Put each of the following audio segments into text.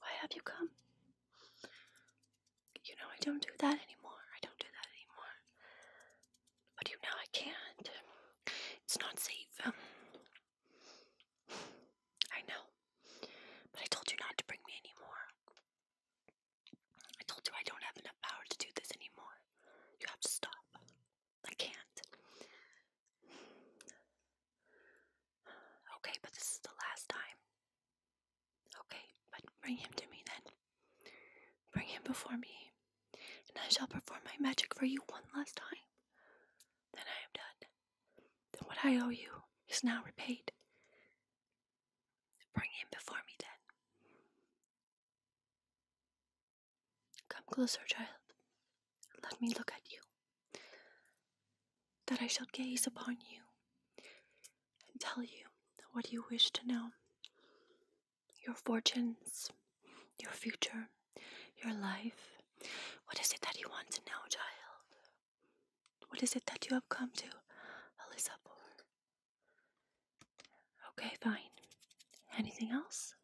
Why have you come? You know I don't do that anymore. I don't do that anymore. But you know I can't. It's not safe. Um, I know. But I told you not to bring me anymore. I told you I don't have enough power to do this anymore. You have to stop. I can't. Okay, but this is the last time. Okay, but bring him to me then. Bring him before me, and I shall perform my magic for you one last time. Then I am done. Then what I owe you is now repaid. Bring him before me then. Come closer, child. Let me look at you that I shall gaze upon you and tell you what you wish to know your fortunes, your future, your life. What is it that you want to know, child? What is it that you have come to Alyssa Okay, fine. Anything else?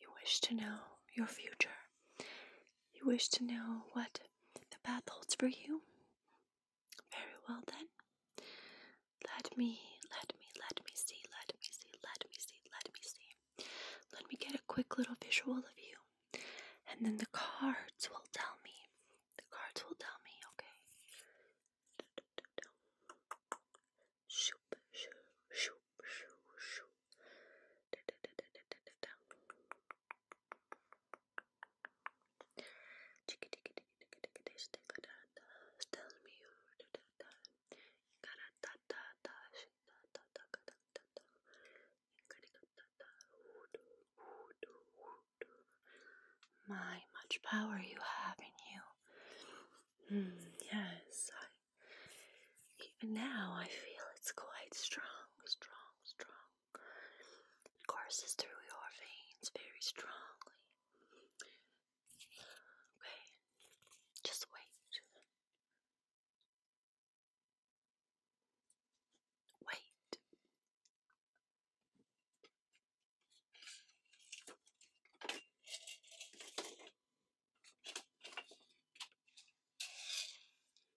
You wish to know your future. You wish to know what the path holds for you. Very well then. Let me, let me, let me see, let me see, let me see, let me see. Let me get a quick little visual of you. And then the cards will tell me. The cards will tell me, okay? My much power you have in you. Mm, yes, I even now, I feel it's quite strong, strong, strong. It courses through your veins very strongly. Okay, just wait. Wait.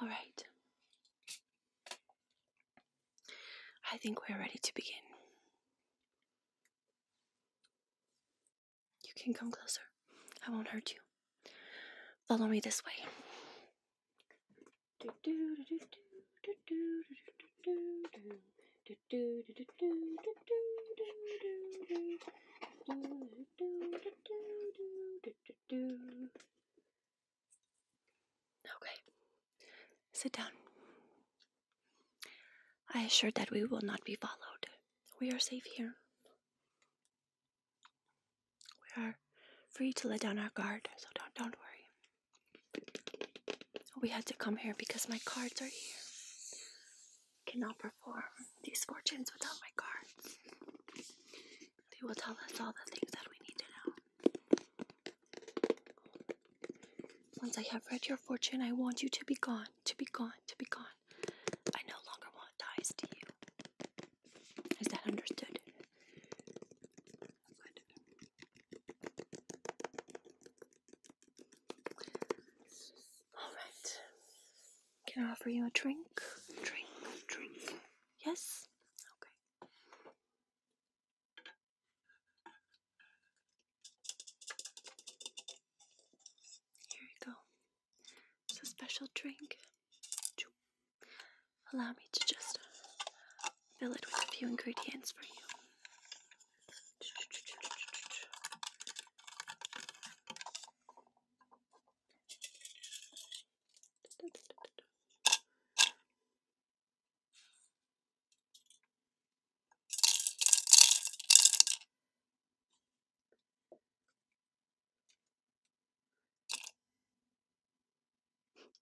All right. I think we're ready to begin. You can come closer. I won't hurt you. Follow me this way. Okay, sit down. I assure that we will not be followed. We are safe here. We are free to let down our guard, so don't don't worry. We had to come here because my cards are here. Cannot perform these fortunes without my cards. They will tell us all the things that we need to know. Once I have read your fortune, I want you to be gone, to be gone, to be gone. I no longer want ties to you. Is that understood? All right. Can I offer you a drink? Drink, drink. Yes? Okay. Here you go. It's a special drink. Allow me to just fill it with a few ingredients for you.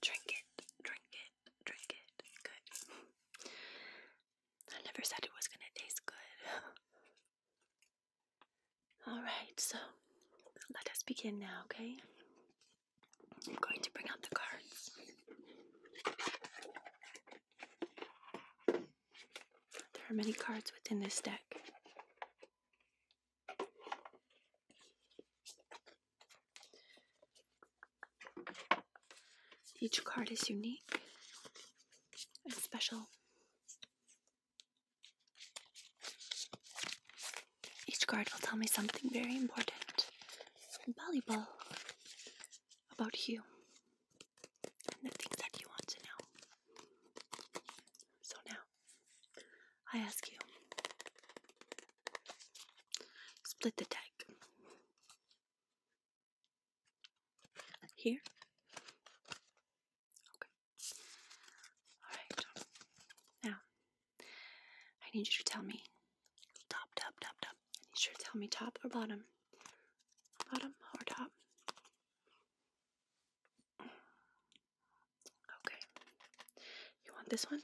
Drink it, drink it, drink it. Good. I never said it was gonna taste good. Alright, so let us begin now, okay? I'm going to bring out the cards. There are many cards within this deck. Each card is unique and special. Each card will tell me something very important and valuable about you the things that you want to know. So now, I ask you, split the deck. Here? Okay. Alright. Now, I need you to tell me top, top, top, top. I need you to tell me top or bottom. Bottom or top? Okay. You want this one?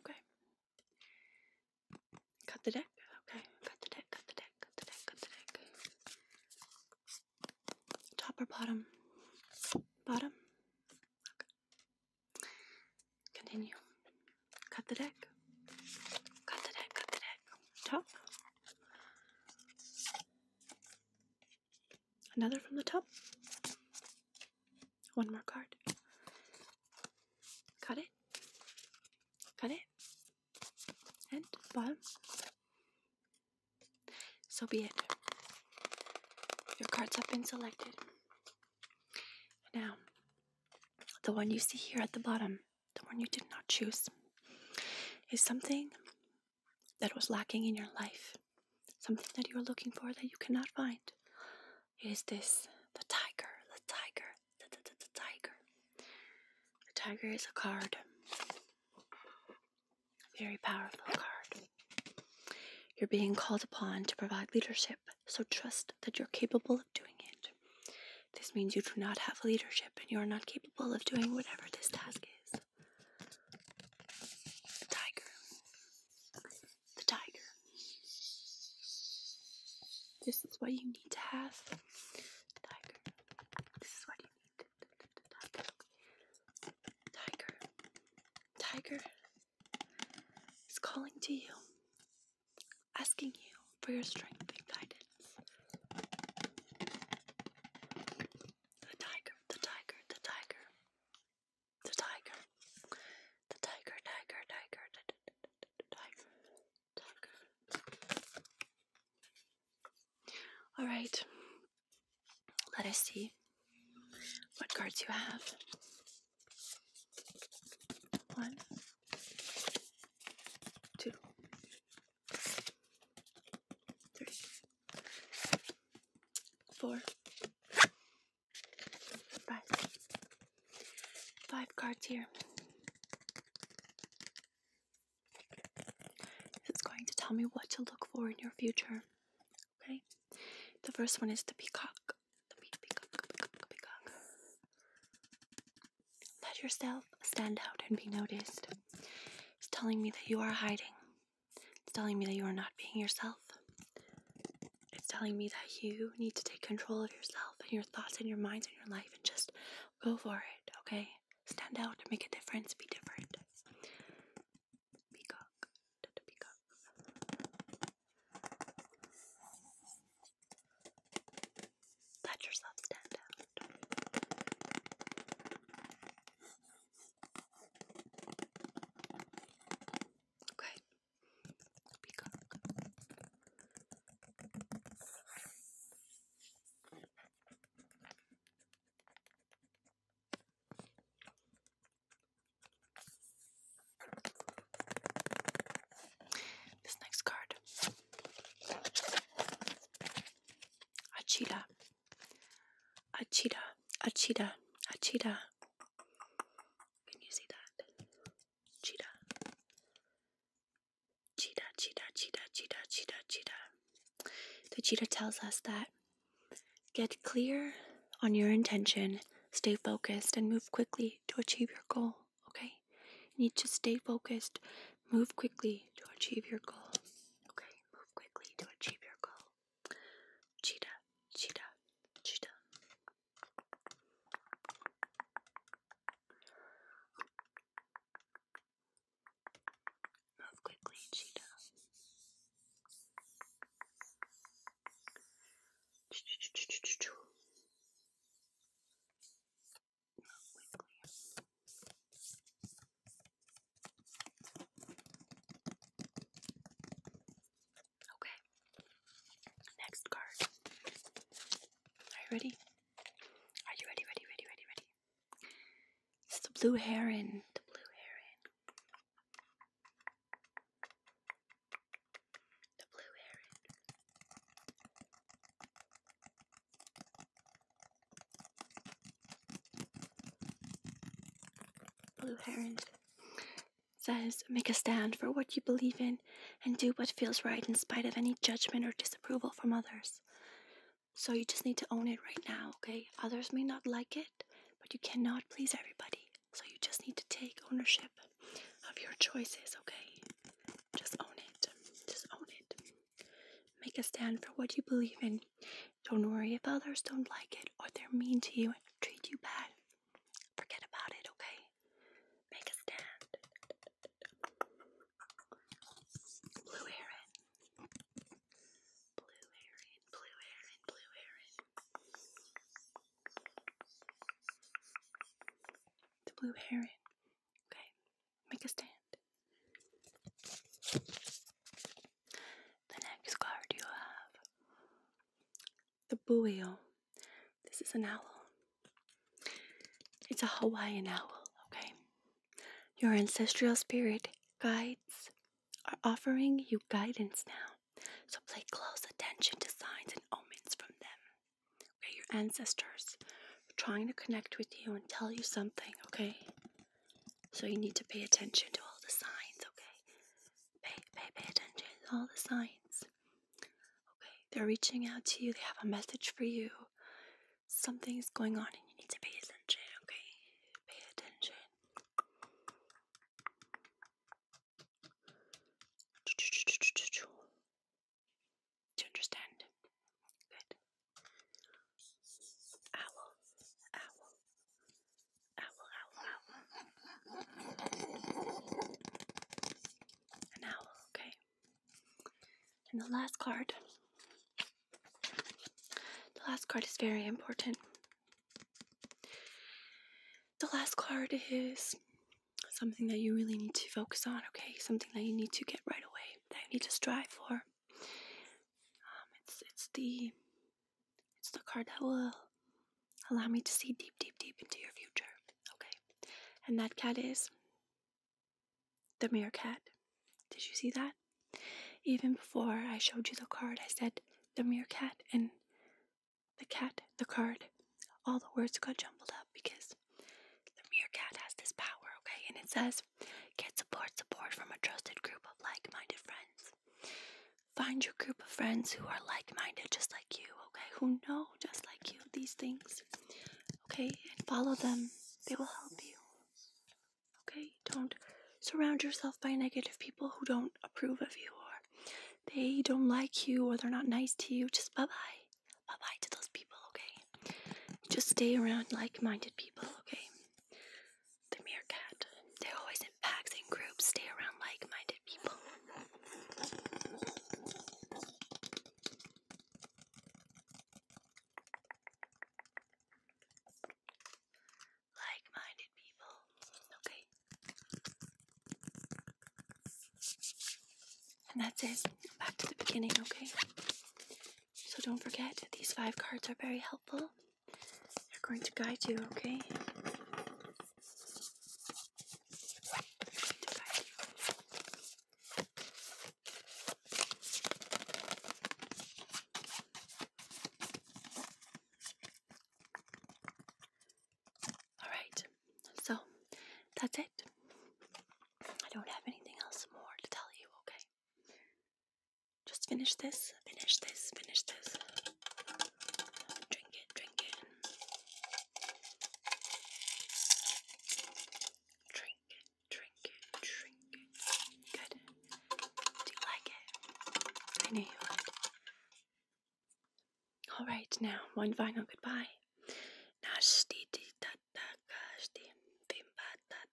Okay. Cut the deck. Okay. Cut the deck. Cut the deck. Cut the deck. Cut the deck. Top or bottom? Bottom. Continue. Cut the deck. Cut the deck. Cut the deck top. Another from the top. One more card. Cut it. Cut it. And bottom. So be it. Your cards have been selected. Now, the one you see here at the bottom the one you did not choose, is something that was lacking in your life, something that you are looking for that you cannot find. Is this the tiger, the tiger, the, tiger. The tiger is a card, very powerful card. You're being called upon to provide leadership, so trust that you're capable of doing it. This means you do not have leadership and you are not capable of doing whatever this task is. tiger. The tiger. This is what you need to have. tiger. This is what you need. Tiger. Tiger. Tiger is calling to you, asking you for your strength and guidance. The tiger, the tiger, the tiger. The tiger. The tiger, tiger, tiger, tiger, tiger. All right. Let us see what cards you have. One, two, three, four, five. Five cards here. It's going to tell me what to look for in your future. Okay? The first one is the peacock. Let yourself stand out and be noticed. It's telling me that you are hiding. It's telling me that you are not being yourself. It's telling me that you need to take control of yourself and your thoughts and your minds and your life and just go for it, okay? Stand out, make a difference, be different. Peacock. Peacock. Let yourself stand out. Okay. Peacock. This next card, Achila. A cheetah, a cheetah, a cheetah. Can you see that? Cheetah. Cheetah, cheetah, cheetah, cheetah, cheetah, cheetah. The cheetah tells us that get clear on your intention, stay focused, and move quickly to achieve your goal. Okay? You need to stay focused, move quickly to achieve your goal. Okay? Move quickly to achieve your goal. Cheetah, cheetah, cheetah. Move quickly, cheetah. Okay. Next card. Are you ready? Are you ready, ready, ready, ready, ready? It's the blue heron. The blue heron. The blue heron. Blue Heron says, Make a stand for what you believe in and do what feels right in spite of any judgment or disapproval from others. So you just need to own it right now, okay? Others may not like it, but you cannot please everybody. So you just need to take ownership of your choices, okay? Just own it. Just own it. Make a stand for what you believe in. Don't worry if others don't like it or they're mean to you and treat you bad. Forget about it, okay? Make a stand. Blue heron. Blue heron, blue heron, blue heron. The blue heron. Okay, make a stand. The next card you have the buio. This is an owl. It's a Hawaiian owl, okay? Your ancestral spirit guides are offering you guidance now. So play close attention to signs and omens from them. Okay, your ancestors are trying to connect with you and tell you something, okay? So you need to pay attention to all the signs, okay? Pay, pay, pay attention to all the signs. Okay, they're reaching out to you, they have a message for you. Something's going on and you need to pay attention, okay? Pay attention. Do you understand? Good. Owl, owl, owl, owl, owl. An owl, okay. And the last card. The last card is very important. The last card is something that you really need to focus on, okay? Something that you need to get right away, that you need to strive for. Um, it's it's the it's the card that will allow me to see deep, deep, deep into your future. Okay, and that cat is the meerkat. Did you see that? Even before I showed you the card, I said the meerkat and the cat, the card, all the words got jumbled up because the meerkat has this power. Okay, and it says Get support support from a trusted group of like-minded friends. Find your group of friends who are like-minded just like you, okay? Who know just like you these things. Okay? And follow them. They will help you. Okay? Don't surround yourself by negative people who don't approve of you or they don't like you or they're not nice to you. Just bye-bye. Bye-bye to those people, okay? Just stay around like-minded people, okay? the meerkat. They're always in packs and groups, stay around like minded people. Like minded people, okay? And that's it. Back to the beginning, okay? So don't forget, these five cards are very helpful they're going to guide you, okay? Alright, so that's it. I don't have anything else more to tell you, okay? Just finish this, finish this, finish this. Drink it, drink it. Drink it, drink it, drink it. Good. Do you like it? I knew you would. Alright, now one final goodbye. Nashti di tatakashi vimbata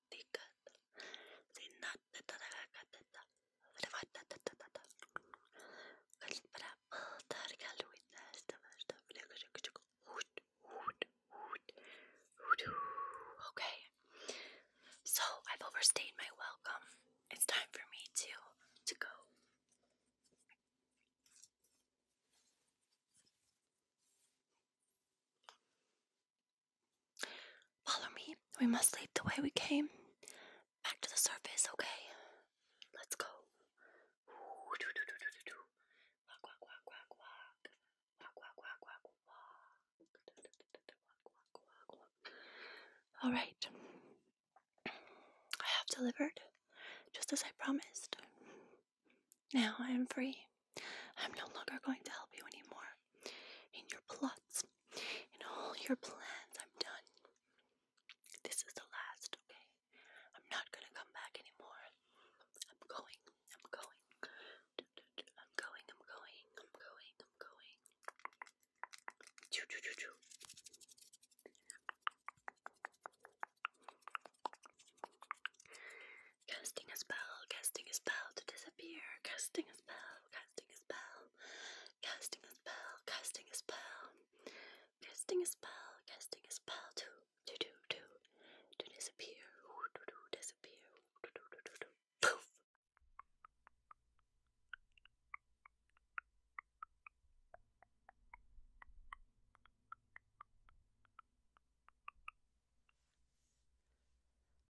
Okay, so I've overstayed my welcome. It's time for me to to go. Follow me. We must leave the way we came. Back to the surface, okay? Let's go. All right. I have delivered, just as I promised. Now I am free. I'm no longer going to help you anymore in your plots, in all your plans. I'm done. This is the last, okay? I'm not gonna come back anymore. I'm going, I'm going. I'm going, I'm going, I'm going, I'm going. Choo choo choo choo. Casting a spell, casting a spell to disappear, casting a spell casting a spell, casting a spell, casting a spell, casting a spell, casting a spell to to to to disappear, to do disappear, poof.